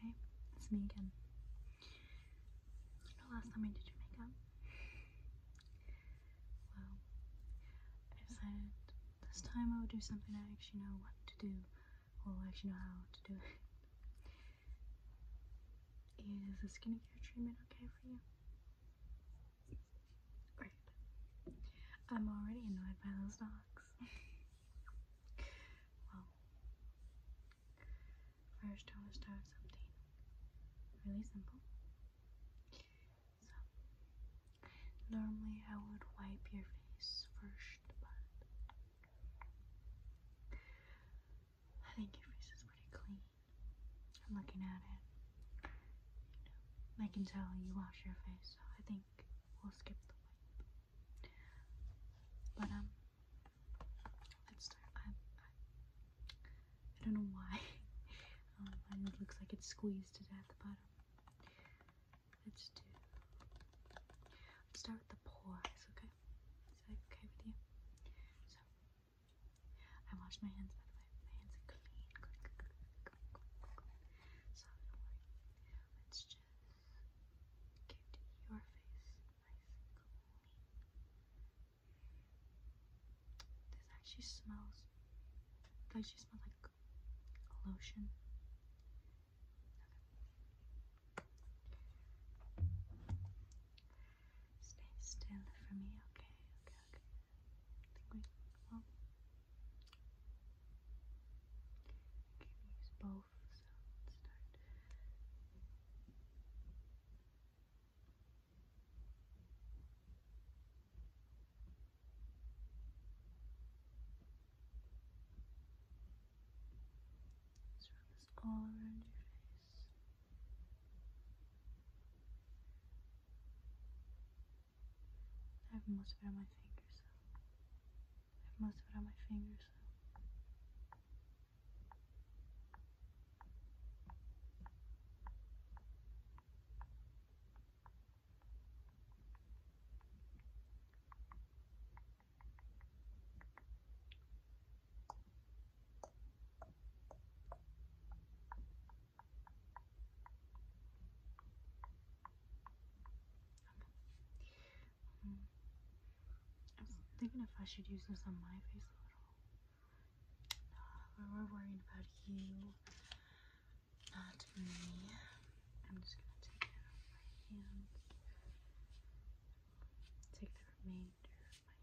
Hey, it's me again. You last time I did your makeup? Well, I decided this time I would do something I actually know what to do, or actually know how to do it. Is the skincare treatment okay for you? Great. I'm already annoyed by those dogs. Well, first I want start something really simple. So, normally I would wipe your face first, but I think your face is pretty clean. I'm looking at it. I can tell you wash your face, I think we'll skip the wipe. But um, let's start. I, I, don't know why. Um, it looks like it's squeezed to death, but um, let's do. start with the pores. Okay, is that okay with you? So, I washed my hands. By the way, my hands are clean. So Let's just. Get your face This actually smells, it actually smells like a lotion. Stay still for me, okay? Okay, okay. Can use both sounds start. Just run this all around your face. I have most of it on my fingers. I have most of it on my fingers. I am thinking if I should use this on my face a little. we're worrying about you, not me. I'm just gonna take it out my hands. Take the remainder of my hand.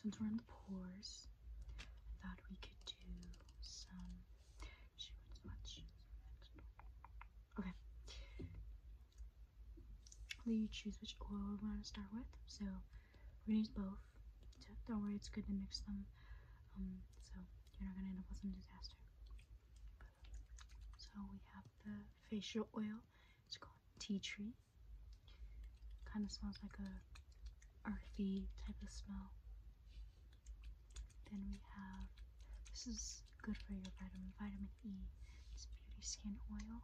since we're in the pores, I thought we could do some Okay. Let you choose which oil we want to start with. So we're gonna use both. don't worry, it's good to mix them. Um, so you're not gonna end up with some disaster. So we have the facial oil. It's called tea tree. Kind of smells like a earthy type of smell. Then we have this is good for your vitamin vitamin E. It's beauty skin oil.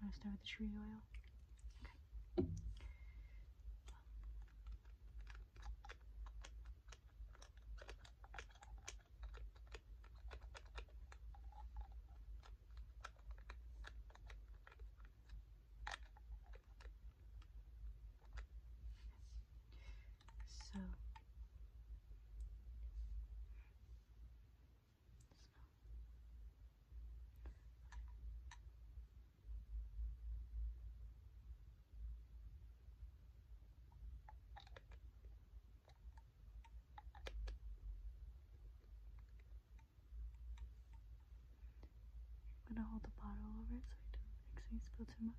I'm gonna start with the tree oil. So I'm gonna hold the bottle over it so it doesn't make me spill too much.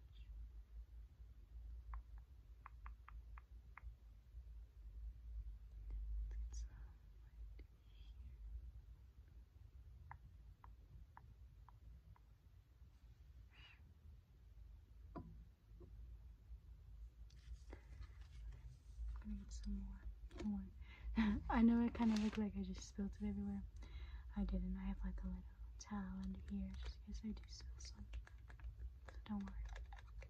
I know I kind of look like I just spilled it everywhere. I didn't. I have like a little towel under here just in case I do spill some. So don't worry.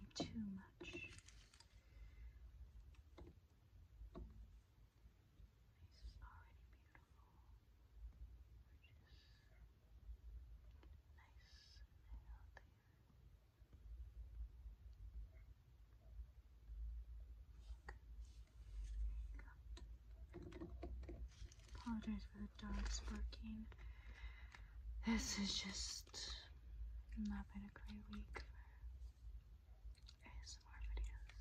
Need too much. Nice. already beautiful. Gorgeous. Nice and healthy. Apologize for the dogs barking. This is just not been a great week for ASMR videos.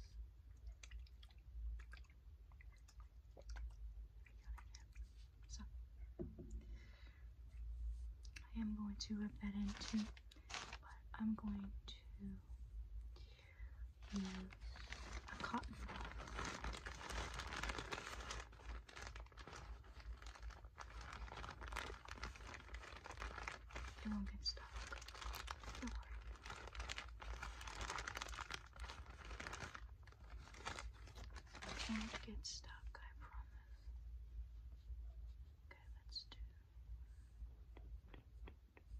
So, I am going to rub that in too, but I'm going to use a cotton swab. It won't get stuck. Don't worry. not get stuck, I promise. Okay, let's do. Okay,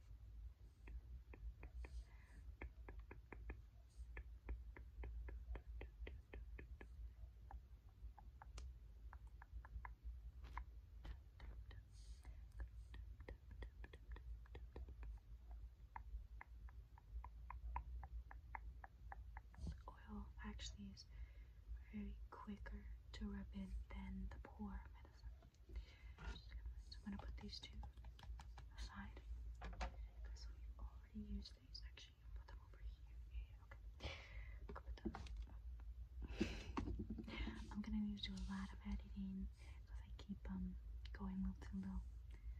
oil actually is very quicker to rub in than the poor medicine. I'm gonna put these two aside because we've already used these. Actually, put them over here. okay. put them. I'm gonna need to do a lot of editing because I keep um going little too little.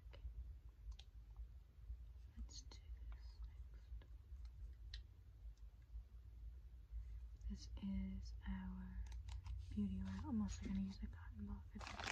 Okay. Let's do this next. This is our beauty oil. I'm also going to use the cotton ball for this.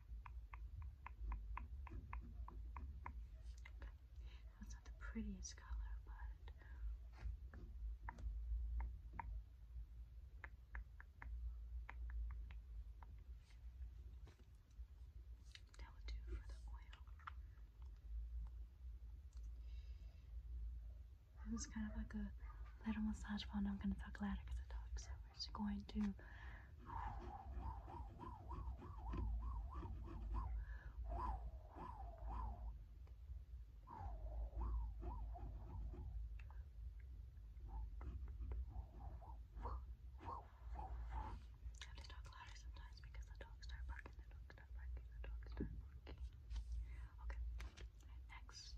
That's not the prettiest color, but that will do for the oil. It was kind of like a little massage ball. I'm going to talk louder because the dog's over is going to have to talk louder sometimes because the dogs start barking, the dogs start barking, the dogs start barking. Okay, next.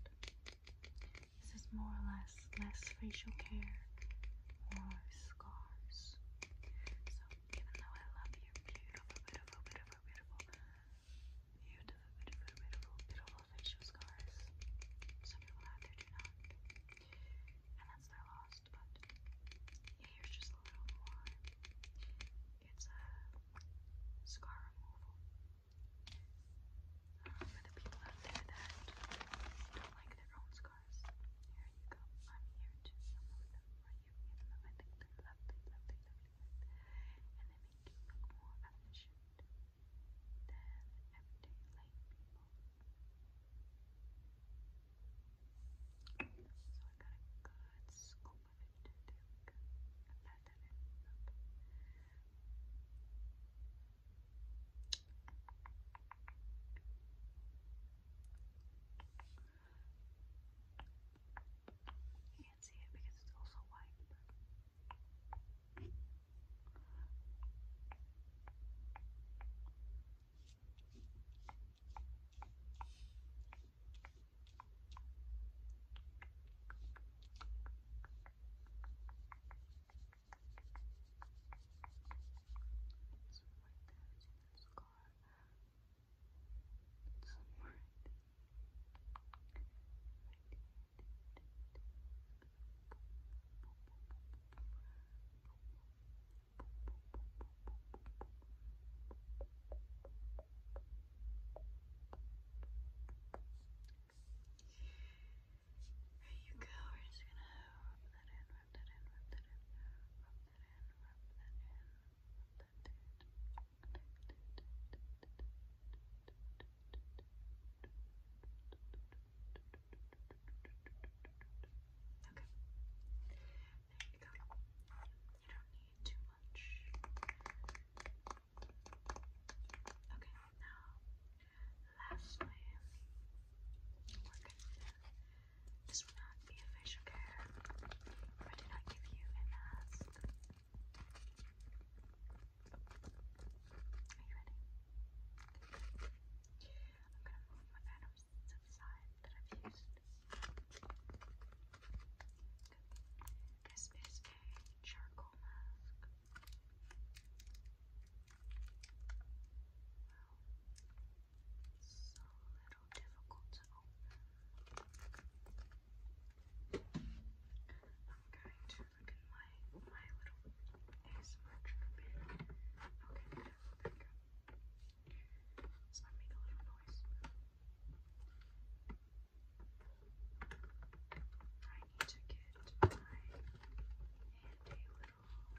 This is more or less less facial care, more scars. So even though I love your beautiful, beautiful, beautiful, beautiful, beautiful, beautiful, beautiful, beautiful facial scars, some people out there do not, and that's their loss. But here's just a little more. It's a scar removal. Um, for the people out there that don't like their own scars, here you go. I'm here to remove them for you, I think they're lovely, lovely, lovely, and they make you look more efficient than everyday people. So I got a good scoop of it. There we go. I pat that in. Up. You can't see it because it's also white. So right there is another scar. Somewhere right there. There you go. We're just gonna rub that in, rub that in, rub that in, rub that in, rub that in, rub that in. Okay. There you go. You don't need too much. Okay, now lastly, we're gonna do this will not be a care. I did not give you a mask. Are you ready? I'm gonna move my items to the side that I've used. This is a charcoal mask. Well, little difficult to open. i to look at my, my little ASMR trigger pin. Okay, there we go. This might make a little noise. I need to get my handy little scissors out.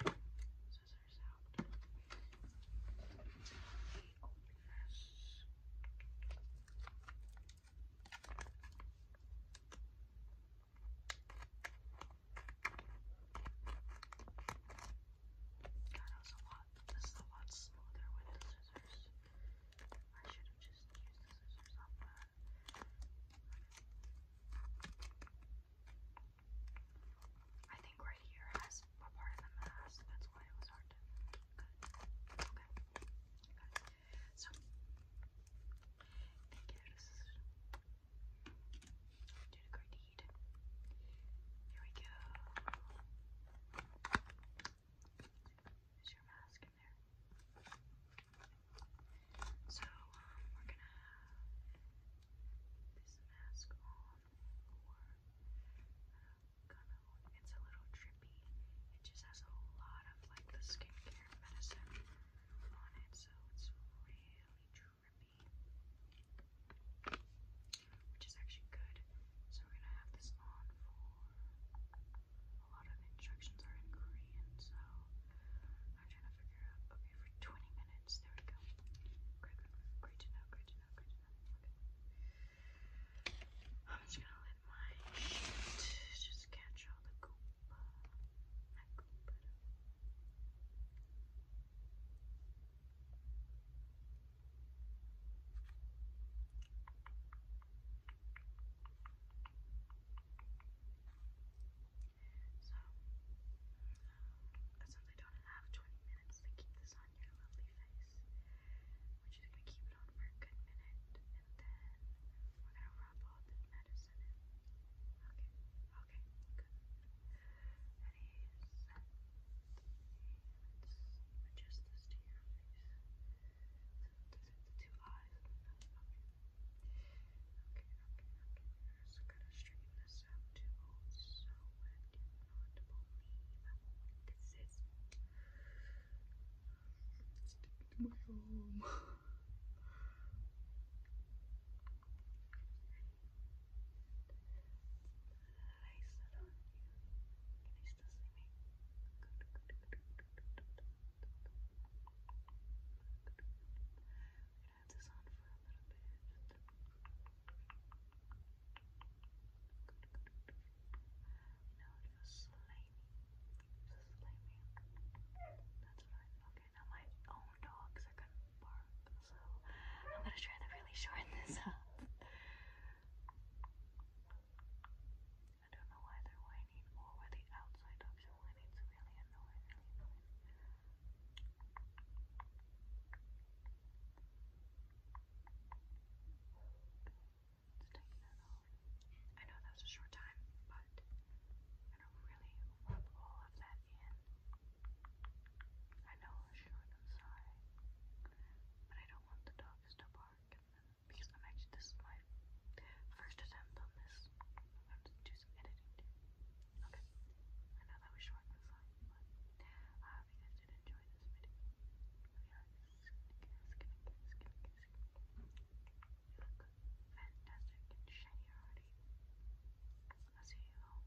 God, that was a lot. This is a lot smoother with scissors. I should have just used the scissors I think right here has a part of the mask, that's why it was hard to Okay. So thank you to scissors. Did Here we go. There's your mask in there. So, um, we're gonna have this mask on for, uh, kind of, it's a little drippy. It just has a lot of, like, the skincare medicine on it, so it's really drippy. Which is actually good. So we're gonna have this on for a lot of instructions are in Korean, so I'm trying to figure out. Okay, for 20 minutes, there we go. Great, great, to know, great to know, great to know. Okay. I'm just gonna let my shit just catch all the goop. My goop. So, um, since I don't have 20 minutes to keep this on your lovely face, we're just gonna keep it on for a good minute, and then we're gonna rub all the medicine in. Okay, okay, good. Ready, set, go adjust this the two eyes. Okay, okay, okay. Just gotta straighten this out too. Also, I not believe this is stick my home. I sit on you. Can you still see i have this on for a little bit. Good, good, good. Now it That's right. Okay, now my own dogs are gonna bark, so I'm gonna try to really shorten this up. I don't know why they're whining or why the outside dogs are whining. It's really annoying, Let's take that off. I know that was a short time, but I really want all of that in. I know it's short, I'm sorry. But I don't want the dog Vista Park. Because I'm actually, this is my first attempt on this. I'm going to do some editing too. Okay. I know that was short and fun, but I you guys did enjoy this video. You look fantastic shiny already. I'll see you all.